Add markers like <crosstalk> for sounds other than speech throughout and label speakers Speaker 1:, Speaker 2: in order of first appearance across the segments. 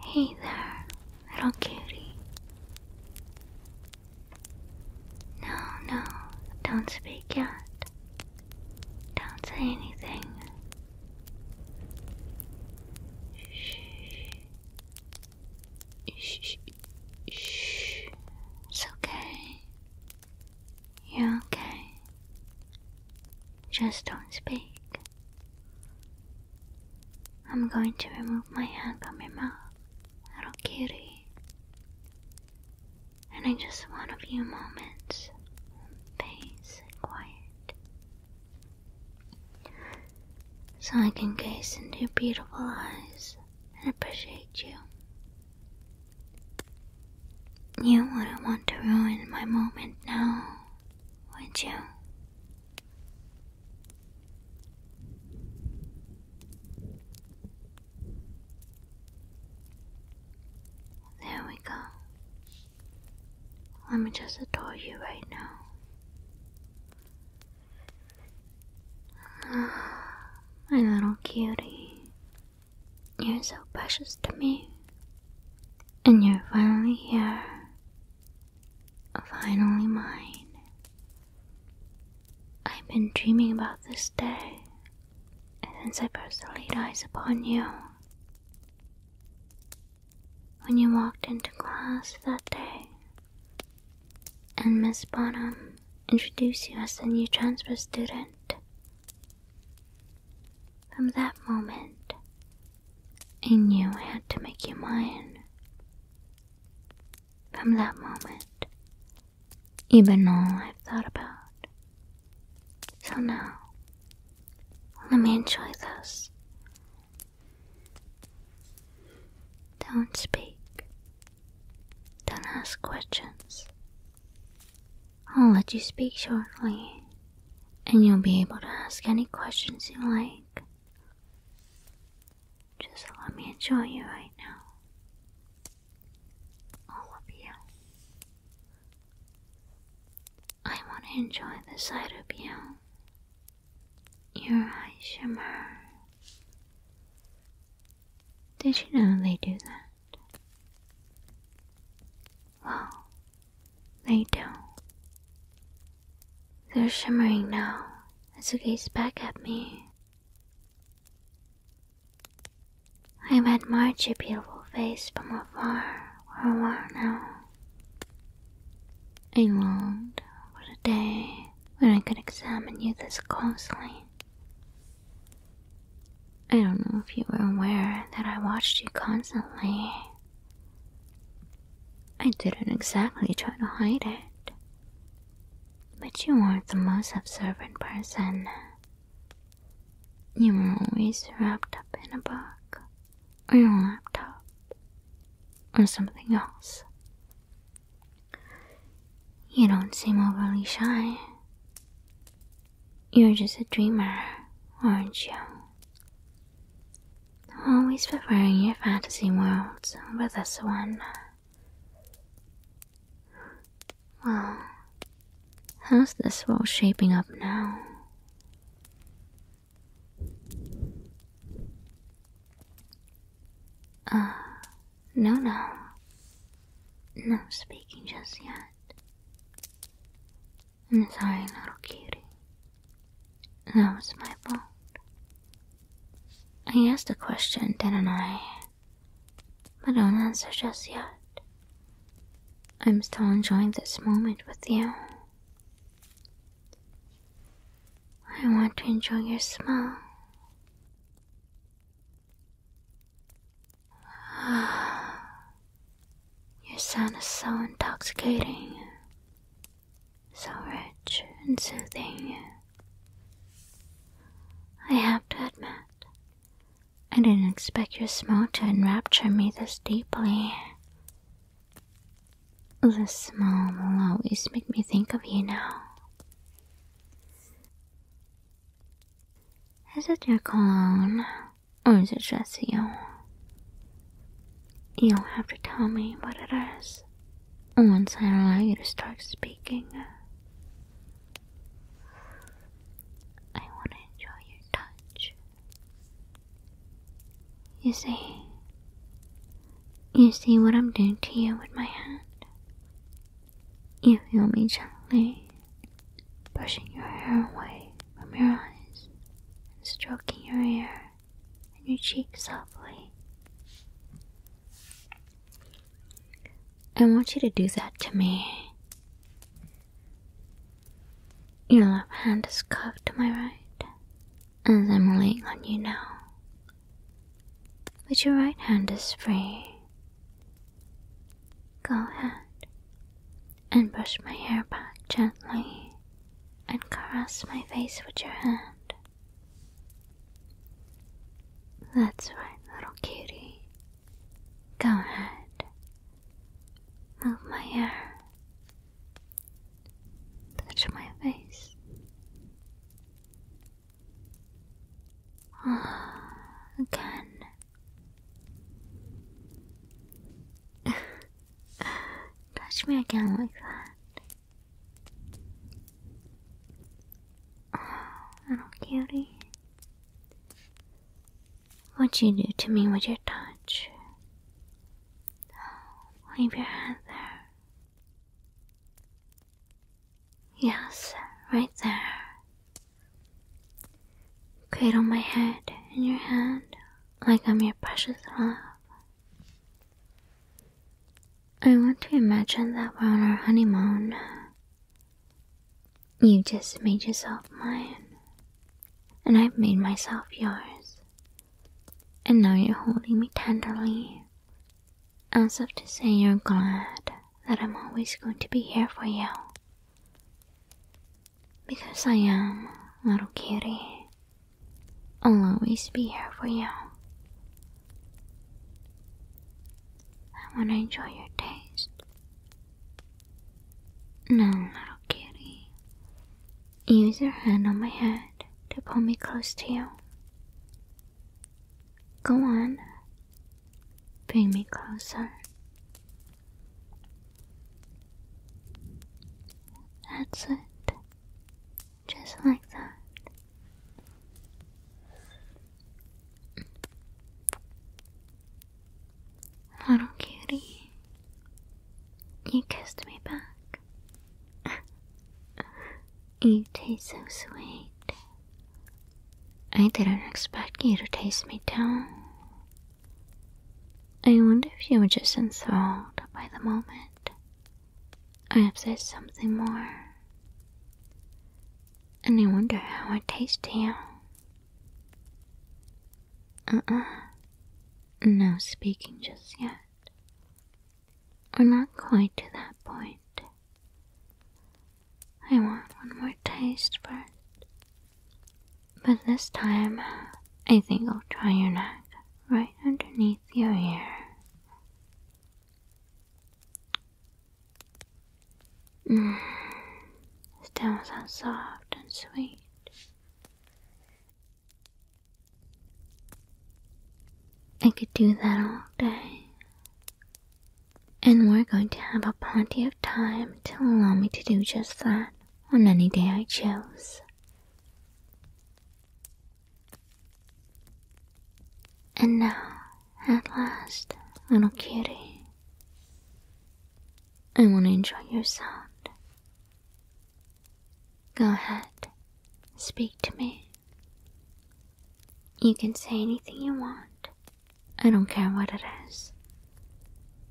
Speaker 1: Hey there, little cutie. No, no, don't speak yet. Don't say anything. Shh. Shh. Shh. It's okay. You're okay. Just don't speak. I'm going to remove my hand from your mouth, little kitty. And I just want a few moments peace and quiet. So I can gaze into your beautiful eyes and appreciate you you wouldn't want to ruin my moment now, would you? There we go. Let me just adore you right now. <sighs> My little cutie, you're so precious to me. And you're finally here. Finally mine. I've been dreaming about this day since I first laid eyes upon you. When you walked into class that day, and Miss Bonham introduce you as the new transfer student. From that moment, I knew I had to make you mine. From that moment, even all I've thought about. So now, let me enjoy this. Don't speak. Don't ask questions. I'll let you speak shortly, and you'll be able to ask any questions you like. Just let me enjoy you right now. All of you. I want to enjoy the sight of you. Your eyes shimmer. Did you know they do that? Well, they do. They're shimmering now as they gaze back at me. I've admired your beautiful face from afar for a while now. I longed for the day when I could examine you this closely. I don't know if you were aware that I watched you constantly. I didn't exactly try to hide it. But you weren't the most observant person. You were always wrapped up in a book, or your laptop, or something else. You don't seem overly shy. You're just a dreamer, aren't you? Always preferring your fantasy worlds over this one. Well, how's this world shaping up now? Ah, no, no. No speaking just yet. I'm sorry, little cutie. That was my fault. I asked a question, didn't I? But don't answer just yet. I'm still enjoying this moment with you. I want to enjoy your smell. <sighs> your scent is so intoxicating, so rich and soothing. I have to admit, I didn't expect your smell to enrapture me this deeply. The smell will always make me think of you now. Is it your cologne, or is it just you? You'll have to tell me what it is once I allow you to start speaking. I want to enjoy your touch. You see, you see what I'm doing to you with my hand? You feel me gently brushing your hair away from your eyes and stroking your hair and your cheek softly. I want you to do that to me. Your left hand is cupped to my right, as I'm laying on you now but your right hand is free. Go ahead and brush my hair back gently and caress my face with your hand. That's right, little cutie. Go ahead. Move my hair Touch my face. Ah, again. <laughs> Touch me again like that. Oh, little cutie. what you do to me with your touch? Leave your hand there. Yes, right there. Cradle my head in your hand like I'm your precious love. I want to imagine that we're on our honeymoon. You just made yourself mine, and I've made myself yours. And now you're holding me tenderly, as if to say you're glad that I'm always going to be here for you. Because I am, little kitty. I'll always be here for you. I want to enjoy your taste. No, little kitty. Use your hand on my head to pull me close to you. Go on. Bring me closer. That's it. Just like that. Little cutie, you kissed me back. <laughs> you taste so sweet. I didn't expect you to taste me down. I wonder if you were just enthralled by the moment. I have said something more. And I wonder how I taste to you. Uh uh. No speaking just yet. We're not quite to that point. I want one more taste first. But this time, I think I'll try your neck right underneath your ear. Mm. Still so soft and sweet. I could do that all day. And we're going to have a plenty of time to allow me to do just that on any day I choose. And now, at last, little kitty, I want to enjoy your sound. Go ahead. Speak to me. You can say anything you want. I don't care what it is.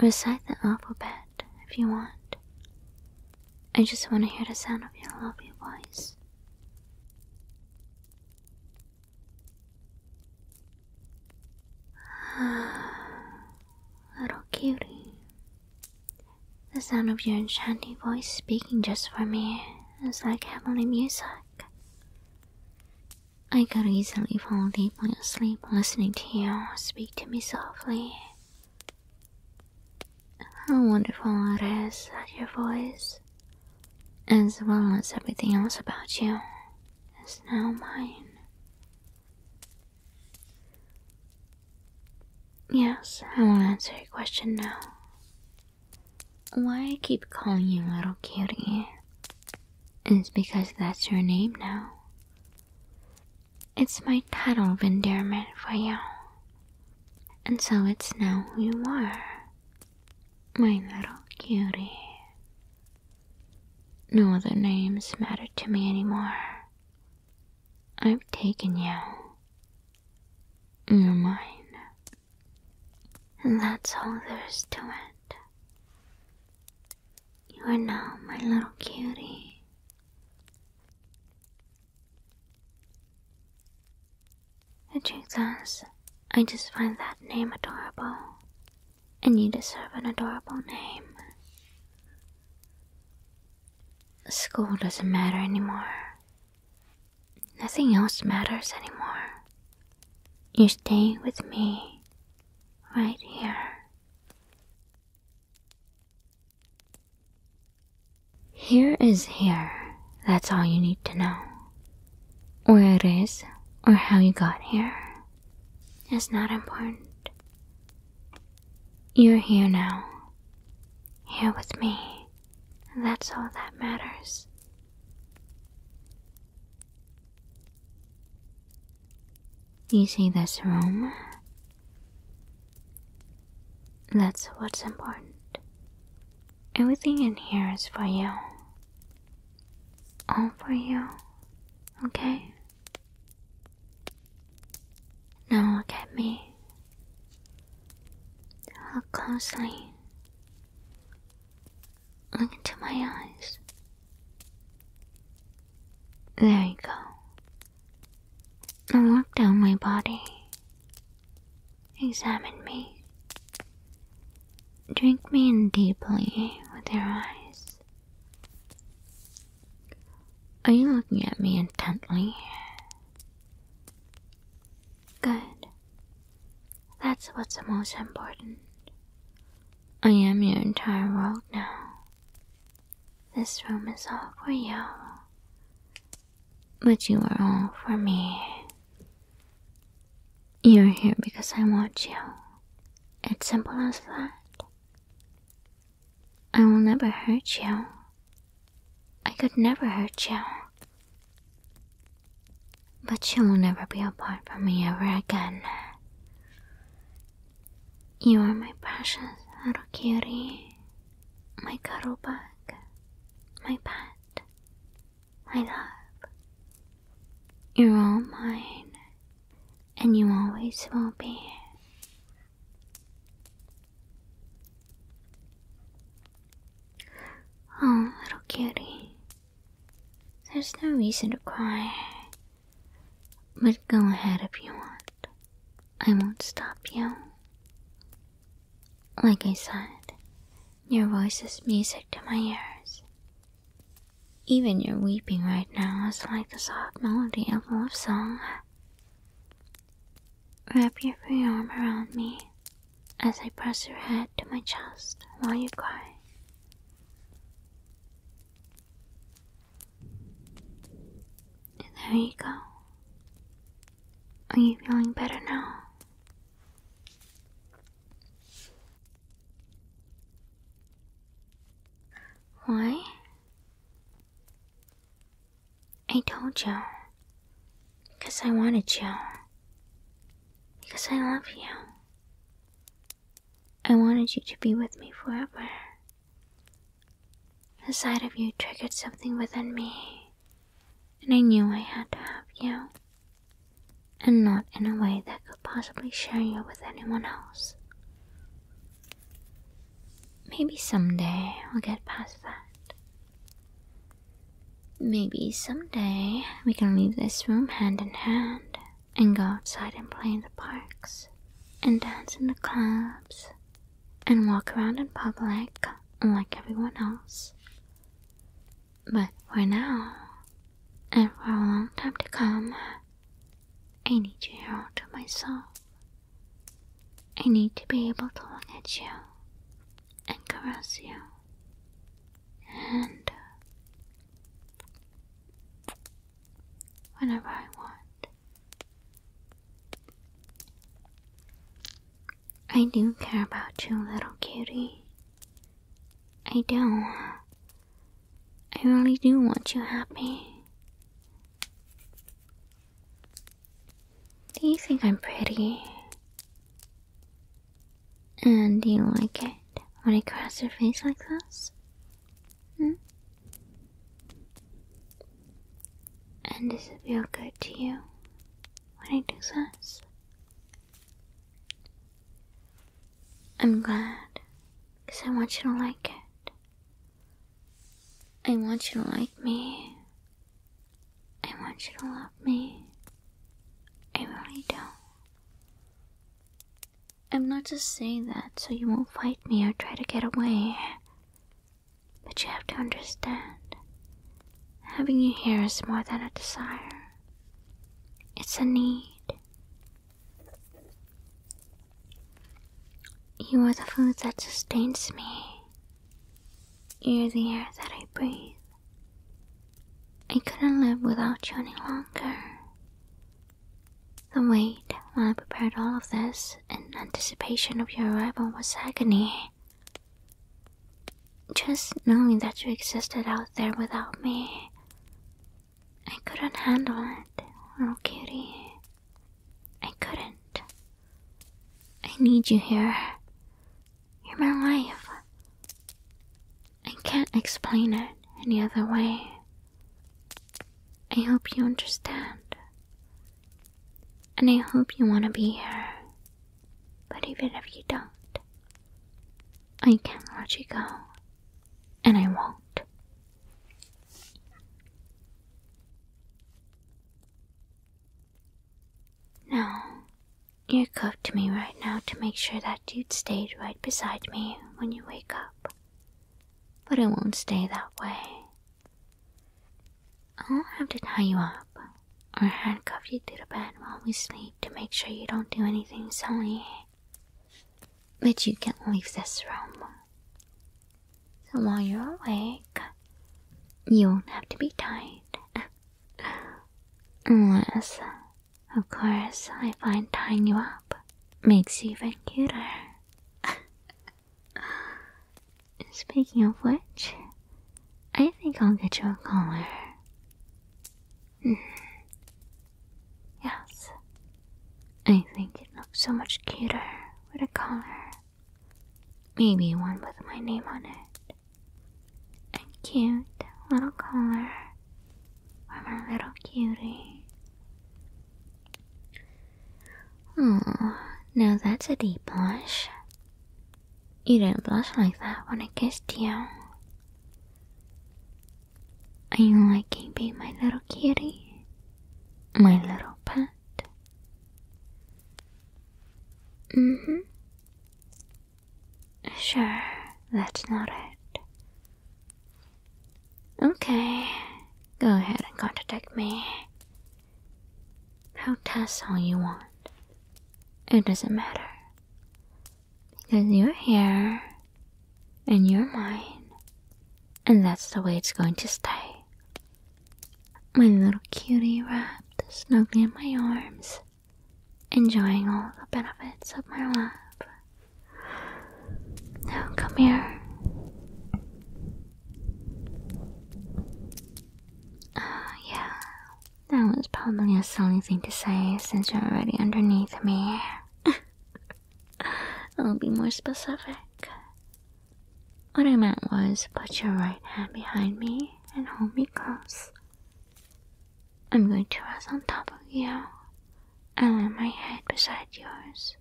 Speaker 1: Recite the alphabet if you want. I just want to hear the sound of your lovely voice. <sighs> Little cutie. The sound of your enchanting voice speaking just for me is like heavenly music. I could easily fall deeply asleep listening to you speak to me softly. How wonderful it is that your voice, as well as everything else about you, is now mine. Yes, I will answer your question now. Why I keep calling you Little Cutie is because that's your name now. It's my title of endearment for you. And so it's now who you are. My little cutie. No other names matter to me anymore. I've taken you. You're mine. And that's all there is to it. You are now my little cutie. The truth is, I just find that name adorable. And you deserve an adorable name. School doesn't matter anymore. Nothing else matters anymore. You are staying with me right here. Here is here. That's all you need to know. Where it is or how you got here is not important. You're here now. Here with me. That's all that matters. You see this room? That's what's important. Everything in here is for you. All for you. Okay? Now look at me. Look closely. Look into my eyes. There you go. Now walk down my body. Examine me. Drink me in deeply with your eyes. Are you looking at me intently? Good. That's what's most important. I am your entire world now. This room is all for you. But you are all for me. You're here because I want you. It's simple as that. I will never hurt you. I could never hurt you. But you will never be apart from me ever again. You are my precious little cutie, my cuddle bug, my pet, my love. You're all mine, and you always will be. Oh, little cutie, there's no reason to cry. But go ahead if you want. I won't stop you. Like I said, your voice is music to my ears. Even your weeping right now is like a soft melody of love song. Wrap your free arm around me as I press your head to my chest while you cry. There you go. Are you feeling better now? Why? I told you. Because I wanted you. Because I love you. I wanted you to be with me forever. The sight of you triggered something within me, and I knew I had to have you, and not in a way that could possibly share you with anyone else. Maybe someday we'll get past that. Maybe someday we can leave this room hand in hand and go outside and play in the parks and dance in the clubs and walk around in public like everyone else. But for now, and for a long time to come, I need you all to myself. I need to be able to look at you and caress you and whenever I want. I do care about you, little cutie. I do. I really do want you happy. Do you think I'm pretty? And do you like it when I cross your face like this? Hmm? And does it feel good to you when I do this? I'm glad because I want you to like it. I want you to like me. I want you to love me. I really do. I'm not just saying that so you won't fight me or try to get away. But you have to understand. Having you here is more than a desire. It's a need. You are the food that sustains me. You're the air that I breathe. I couldn't live without you any longer. The wait while I prepared all of this in anticipation of your arrival was agony. Just knowing that you existed out there without me I couldn't handle it, little kitty. I couldn't. I need you here. You're my life. I can't explain it any other way. I hope you understand. And I hope you want to be here. But even if you don't, I can't let you go and I won't. No, you cuffed me right now to make sure that dude stayed right beside me when you wake up. But I won't stay that way. I'll not have to tie you up or handcuff you to the bed while we sleep to make sure you don't do anything silly but you can leave this room. So while you're awake, you won't have to be tied. Unless, of course, I find tying you up makes you even cuter. <laughs> Speaking of which, I think I'll get you a collar. <sighs> Yes. I think it looks so much cuter with a collar. Maybe one with my name on it. A cute little collar for my little cutie. Oh, now that's a deep blush. You didn't blush like that when I kissed you. Are you liking being my little kitty? My little pet? Mm hmm. Sure, that's not it. Okay, go ahead and contradict me. Protest all you want. It doesn't matter. Because you're here, and you're mine, and that's the way it's going to stay. My little cutie wrapped snugly in my arms, enjoying all the benefits of my love. Now come here. Oh, yeah. That was probably a silly thing to say since you're already underneath me. <laughs> I'll be more specific. What I meant was put your right hand behind me and hold me close. I'm going to rest on top of you and lay my head beside yours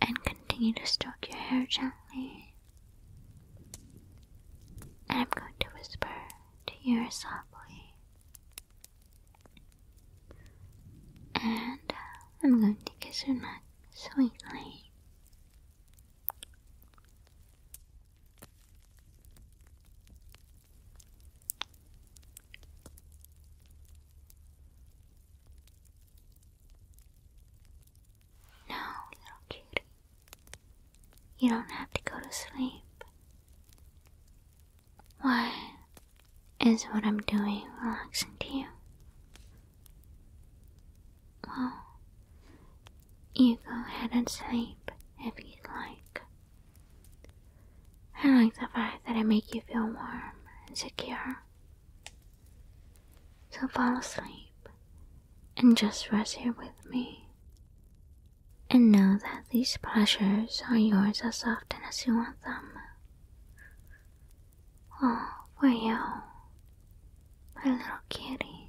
Speaker 1: and continue to stroke your hair gently. And I'm going to whisper to here softly. And uh, I'm going to kiss her neck sweetly. Now, little cutie. You don't have to go to sleep. Why is what I'm doing relaxing to you? Well, you go ahead and sleep if you'd like. I like the fact that I make you feel warm and secure. So fall asleep and just rest here with me and know that these pleasures are yours as often as you want them. All oh, for you, my little kitty.